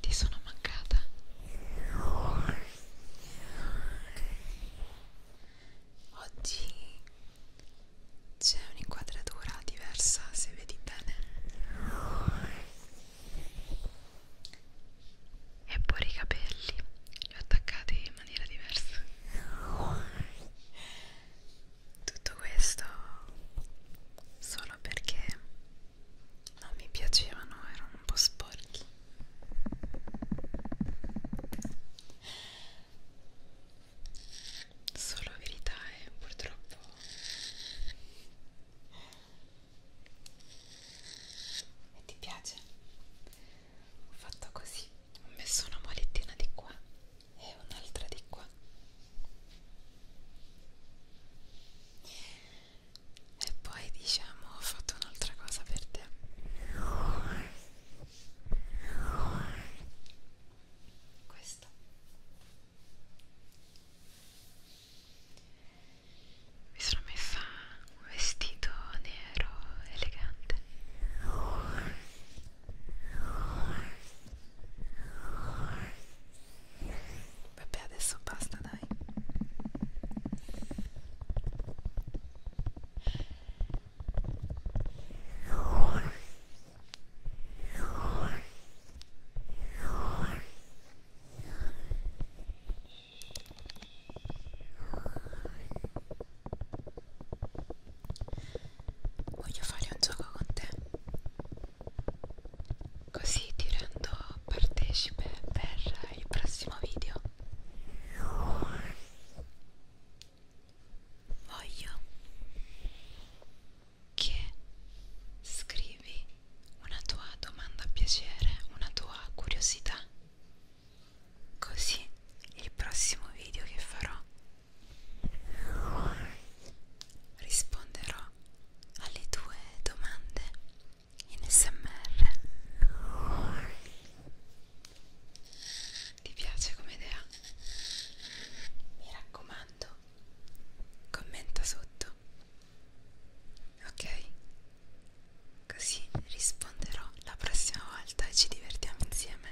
Ti sono mancata. Oggi c'è un'inquadratura diversa, se vedi bene. E pure i capelli li ho attaccati in maniera diversa. Tutto questo solo perché non mi piacevano, erano un po' sporchi. Solo verità è eh, purtroppo. E ti piace? Ho fatto così, ho messo una molettina di qua e un'altra di qua e poi diciamo ho fatto un'altra cosa per te questo mi sono messa un vestito nero elegante Vabbè, adesso basta, dai. Voglio fare un gioco con te così ti rendo partecipe per il prossimo video voglio che scrivi una tua domanda a piacere una tua curiosità così il prossimo video che farò risponderò alle tue domande in smr ti piace come idea? mi raccomando commenta sotto ok? così risponderò la prossima volta e ci divertiamo insieme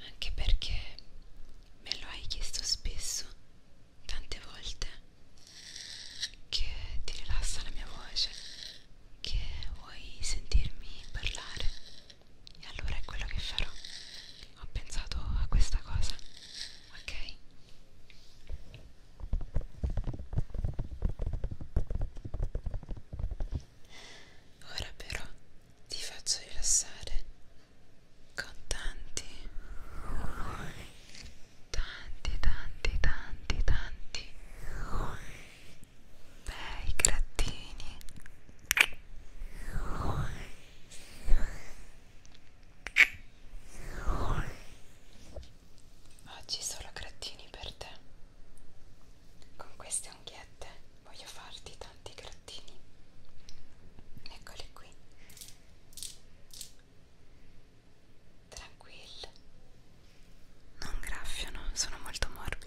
anche perché me lo hai chiesto spesso, tante volte, che ti rilassa la mia voce, che vuoi sentirmi parlare. E allora è quello che farò. Ho pensato a questa cosa, ok? Ora però ti faccio rilassare con tanti, tanti, tanti, tanti, tanti bei grattini. Ora Oggi solo grattini per te. Con queste unghiette voglio farti tanti grattini. Eccoli qui. Tranquillo. Non graffiano, sono molto morbide.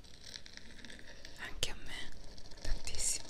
anche a me tantissimo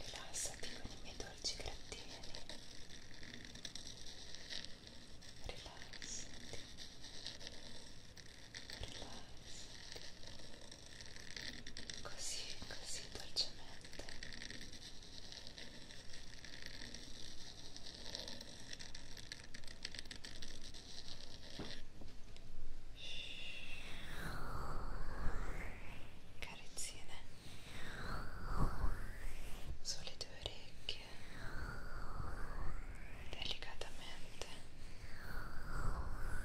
Rilassati con i miei dolci grattini. Rilassati. Rilassati rilassati così, così dolcemente carezzine sulle tue orecchie delicatamente Ora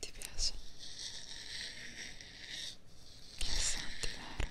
Ti piace? Che senti, vero?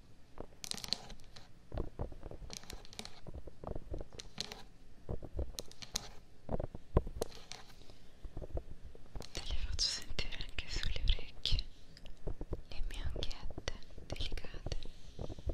Te le faccio sentire anche sulle orecchie, le mie unghiette delicate. Ora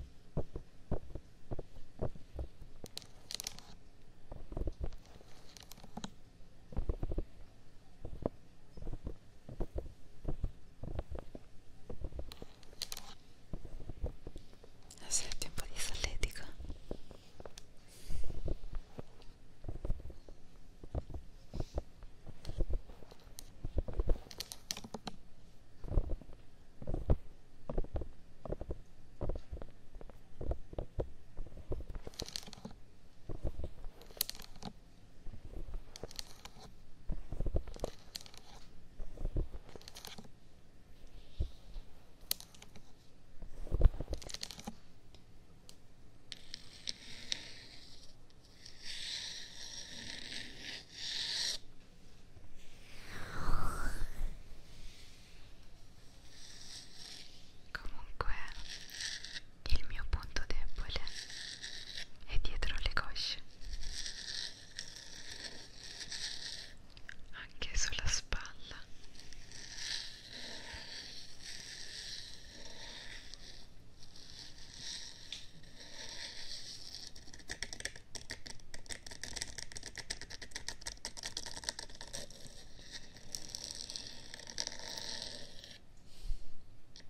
Senti un po' di solletica. Comunque il mio punto debole è dietro le cosce anche sulla spalla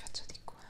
Faccio di qua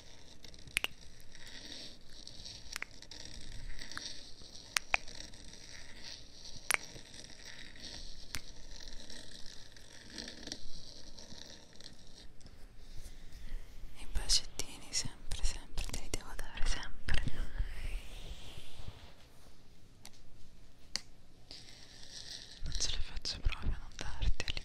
i bacettini sempre sempre te li devo dare sempre non ce la faccio proprio a non darteli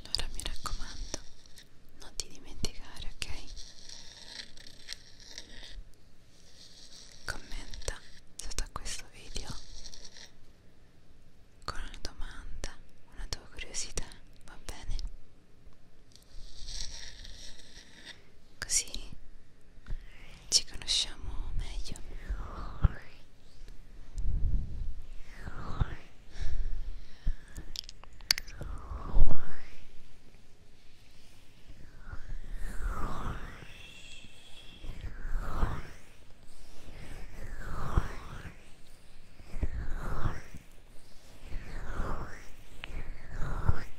Allora mi raccomando, non ti dimenticare, ok? Commenta sotto a questo video con una domanda, una tua curiosità, va bene? così ci conosciamo meglio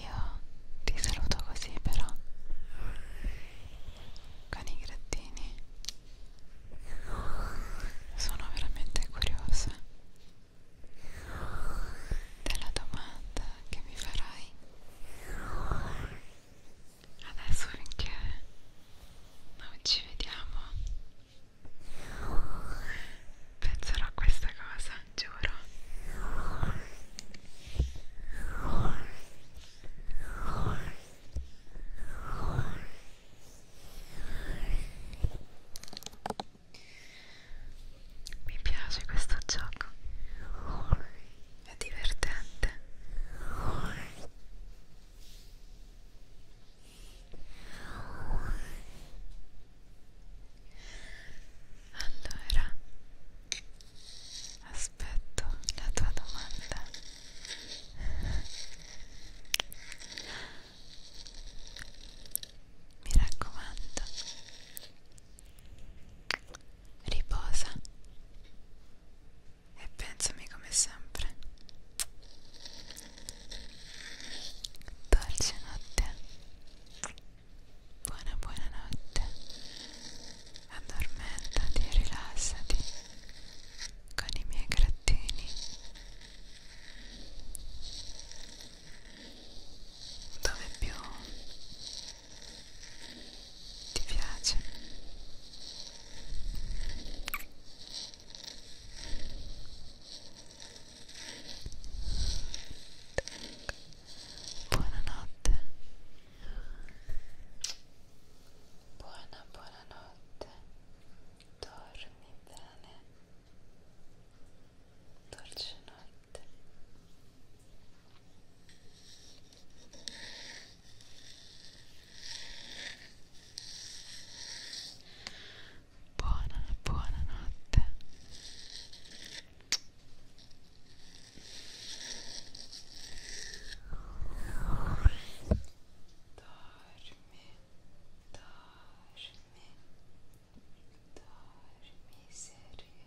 Io ti saluto così però con i grattini. Sono veramente curiosa della domanda che mi farai adesso finché non ci vediamo penserò a questa cosa giuro mi piace questo gioco è divertente allora aspetto la tua domanda mi raccomando riposa e pensami come sempre dolce notte buona buona notte addormentati e rilassati con i miei grattini dove più ti piace? Buonanotte. Buona, buonanotte. Dormi bene. Dolce notte. Buona, buona notte. Dormi, dormi, dormi sereno,